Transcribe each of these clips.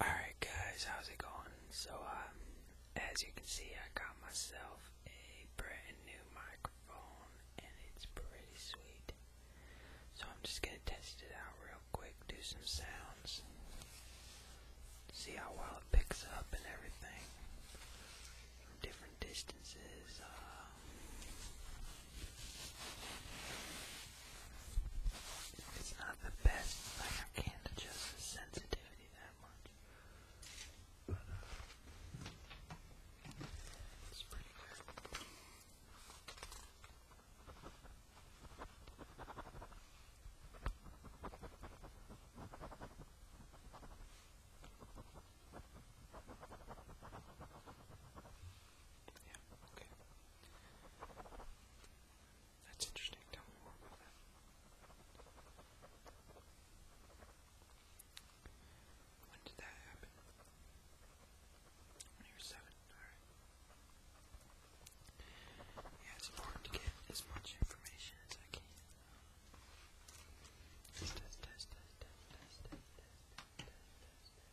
Alright guys, how's it going? So, um, as you can see, I got myself a brand new microphone, and it's pretty sweet. So I'm just gonna test it out real quick, do some sounds, see how well it picks up and everything. From different distances, uh, it's not the best, I can't adjust the sensitivity that much. But, it's pretty good. Yeah, okay. That's interesting. Tell me more about that. When did that happen? When you were seven. Alright. Yeah, it's important to get as much information as I can. Test, test, test, test, test, test, test, test,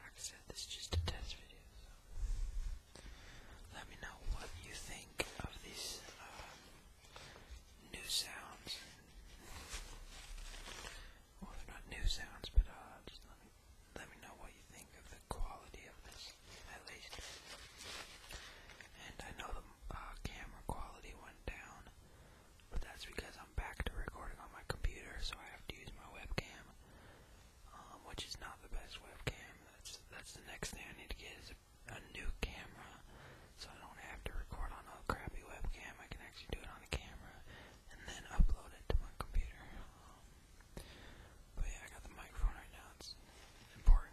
Like I said, this is just a test video, so let me know what you think of these uh, new sounds. Well, they're not new sounds, but uh, just let me let me know what you think of the quality of this, at least. And I know the uh, camera quality went down but that's because I'm back to recording on my computer, so I have to use my webcam, um, which is not the best webcam. That's that's the next thing I need to get is a, a new camera, so I don't have to record on a crappy webcam. I can actually do it on a camera and then upload it to my computer. Um, but yeah, I got the microphone right now. It's important.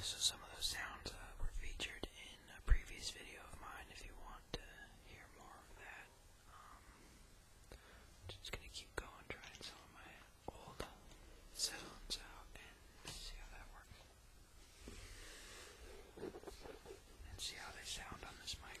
So some of those sounds uh, were featured in a previous video of mine if you want to hear more of that. I'm um, just gonna keep going, trying some of my old sounds out and see how that works. And see how they sound on this mic.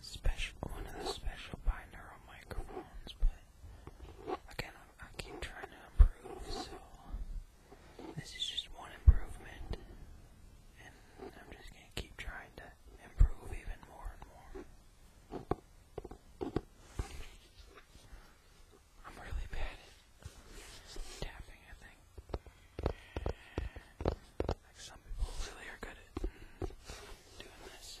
special one of the special binaural microphones, but again, I, I keep trying to improve, so this is just one improvement, and I'm just gonna keep trying to improve even more and more. I'm really bad at tapping, I think. Like some people really are good at doing this.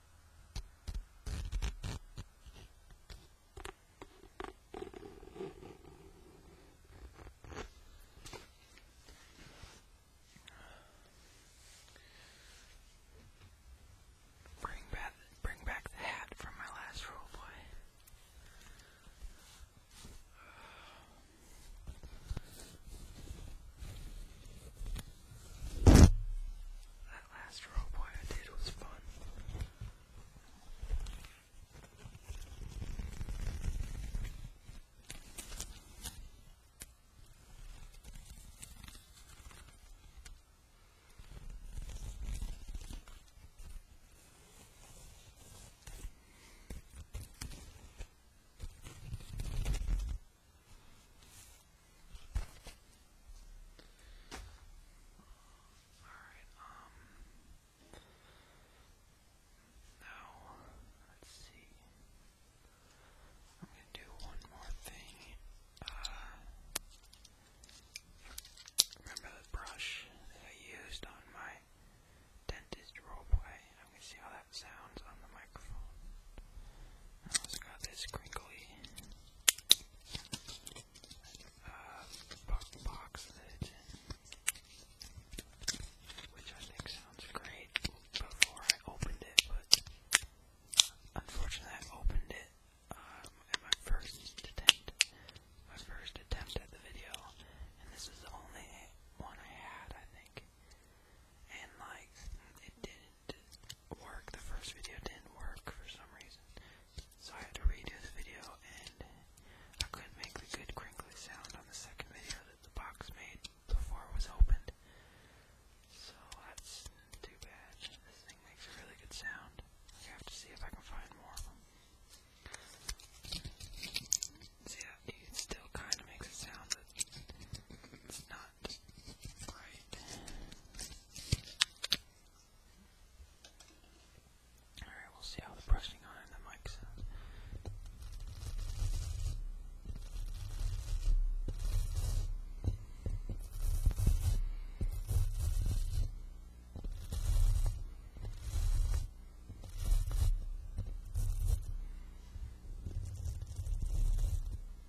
Bring back, bring back the hat from my last role play that last role play I did was fun. Alright, um now let's see. I'm gonna do one more thing. Uh remember the brush that I used on my dentist play? I'm gonna see how that sounds on the microphone. I also got this crinkly uh, box lid, which I think sounds great before I opened it, but unfortunately I opened it um, in my first attempt, my first attempt at the video, and this is the only one I had, I think, and like, it didn't work. The first video didn't work for some reason. So I had to redo the video and I couldn't make the good crinkly sound on the second video that the box made before it was opened. So that's too bad. This thing makes a really good sound. I have to see if I can find more of them. So yeah, still kind of makes a sound, but it's not right. Alright, we'll see how the brushing on the mic sounds. All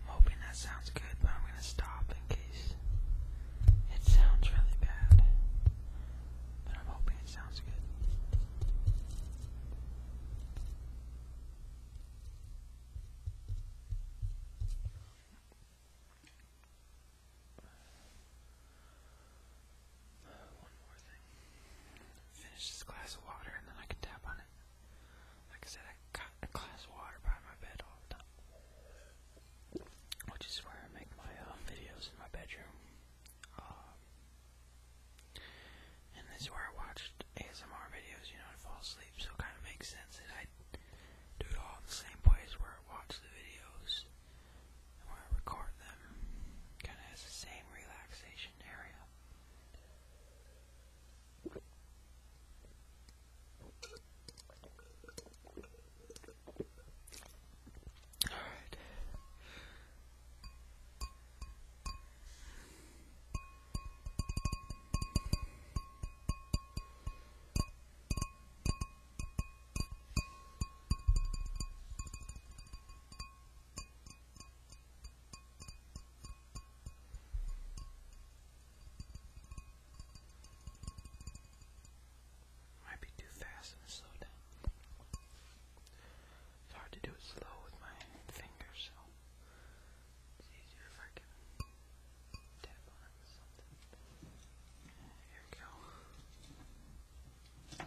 I'm hoping that sounds good, but I'm gonna stop in case it sounds really bad. But I'm hoping it sounds good. One more thing. Finish this glass of water and then I can tap on morning. Like I said, I got a glass of water by my bed all the time, which is where I make my uh, videos in my bedroom. Uh, and this is where I watched ASMR videos, you know, to fall asleep. So it kind of makes sense that I do it all in the same place where I watch the videos and where I record them. Kind of has the same relaxation action area. All right. Might be too fast and slow down. It's hard to do it slow with my fingers, so it's easier if I can tap on it with something. Here we go. There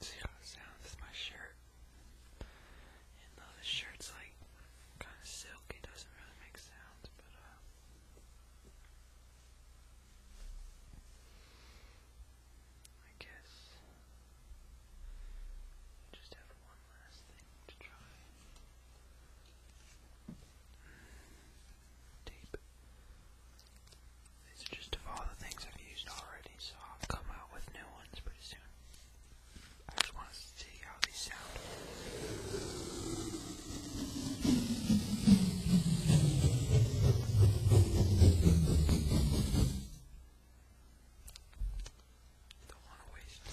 See how it sounds with my shirt. And though the shirt's like kind of silky, doesn't really make sounds, but uh, I guess I just have one last thing to try hmm. deep. These are just of the things I've used already, so I'll come out with new ones pretty soon. I just want to see how these sound. Don't want to waste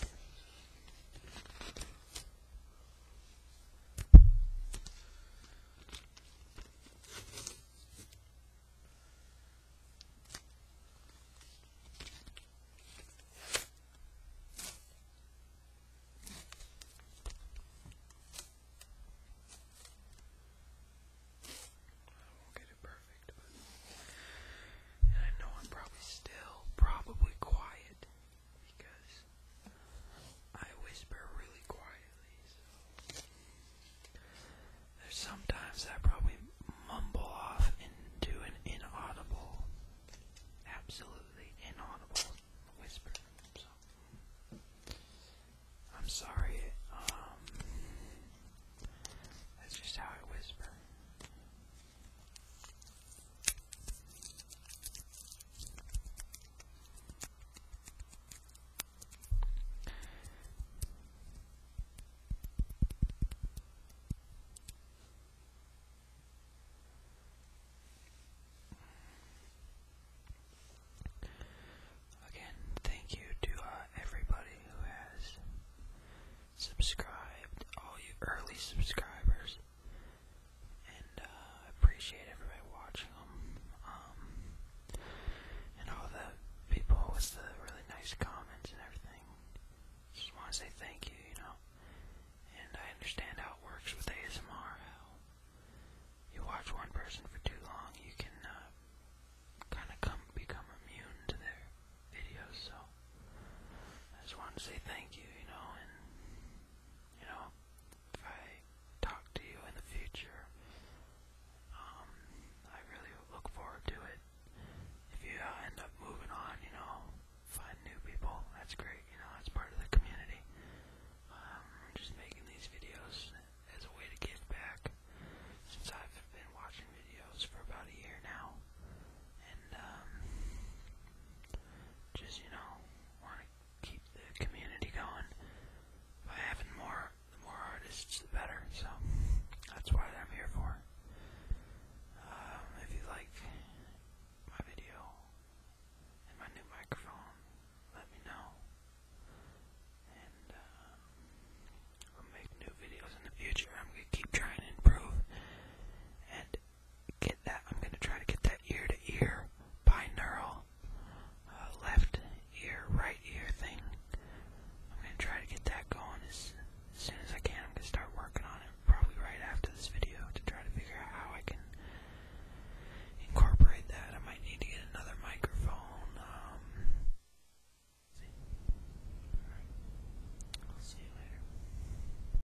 won't get it perfect, but I know I'm probably still probably quiet because I whisper really quietly, so there's sometimes I probably mumble off into an inaudible, absolutely inaudible whisper. So I'm sorry, um, that's just how I whisper. Again, thank you to uh, everybody who has subscribed, all you early subscribers and uh, appreciate everybody watching them. Um, and all the people with the really nice comments and everything. Just want to say thank you, you know. And I understand how it works with ASMR. How you watch one person for too long, you can uh, kind of come become immune to their videos. So I just want to say thank you, you know, and you know, if I talk to you in the future, um, I really look forward to it. If you uh, end up moving on, you know, find new people, that's great, you know, that's part of the community. Um, I'm just making these videos as a way to give back, since I've been watching videos for about a year now, and, um, just, you know, want to keep the community going by having more, the more artists, the better, so that's why I'm here for. Um, if you like my video and my new microphone, let me know, and we'll um, make new videos in the future. I'm going to keep trying to improve, get that. I'm going to try to get that ear to ear binaural uh, left ear, right ear thing. I'm going to try to get that going as, soon as I can. I'm going to start working on it probably right after this video to try to figure out how I can incorporate that. I might need to get another microphone. Um, see you later.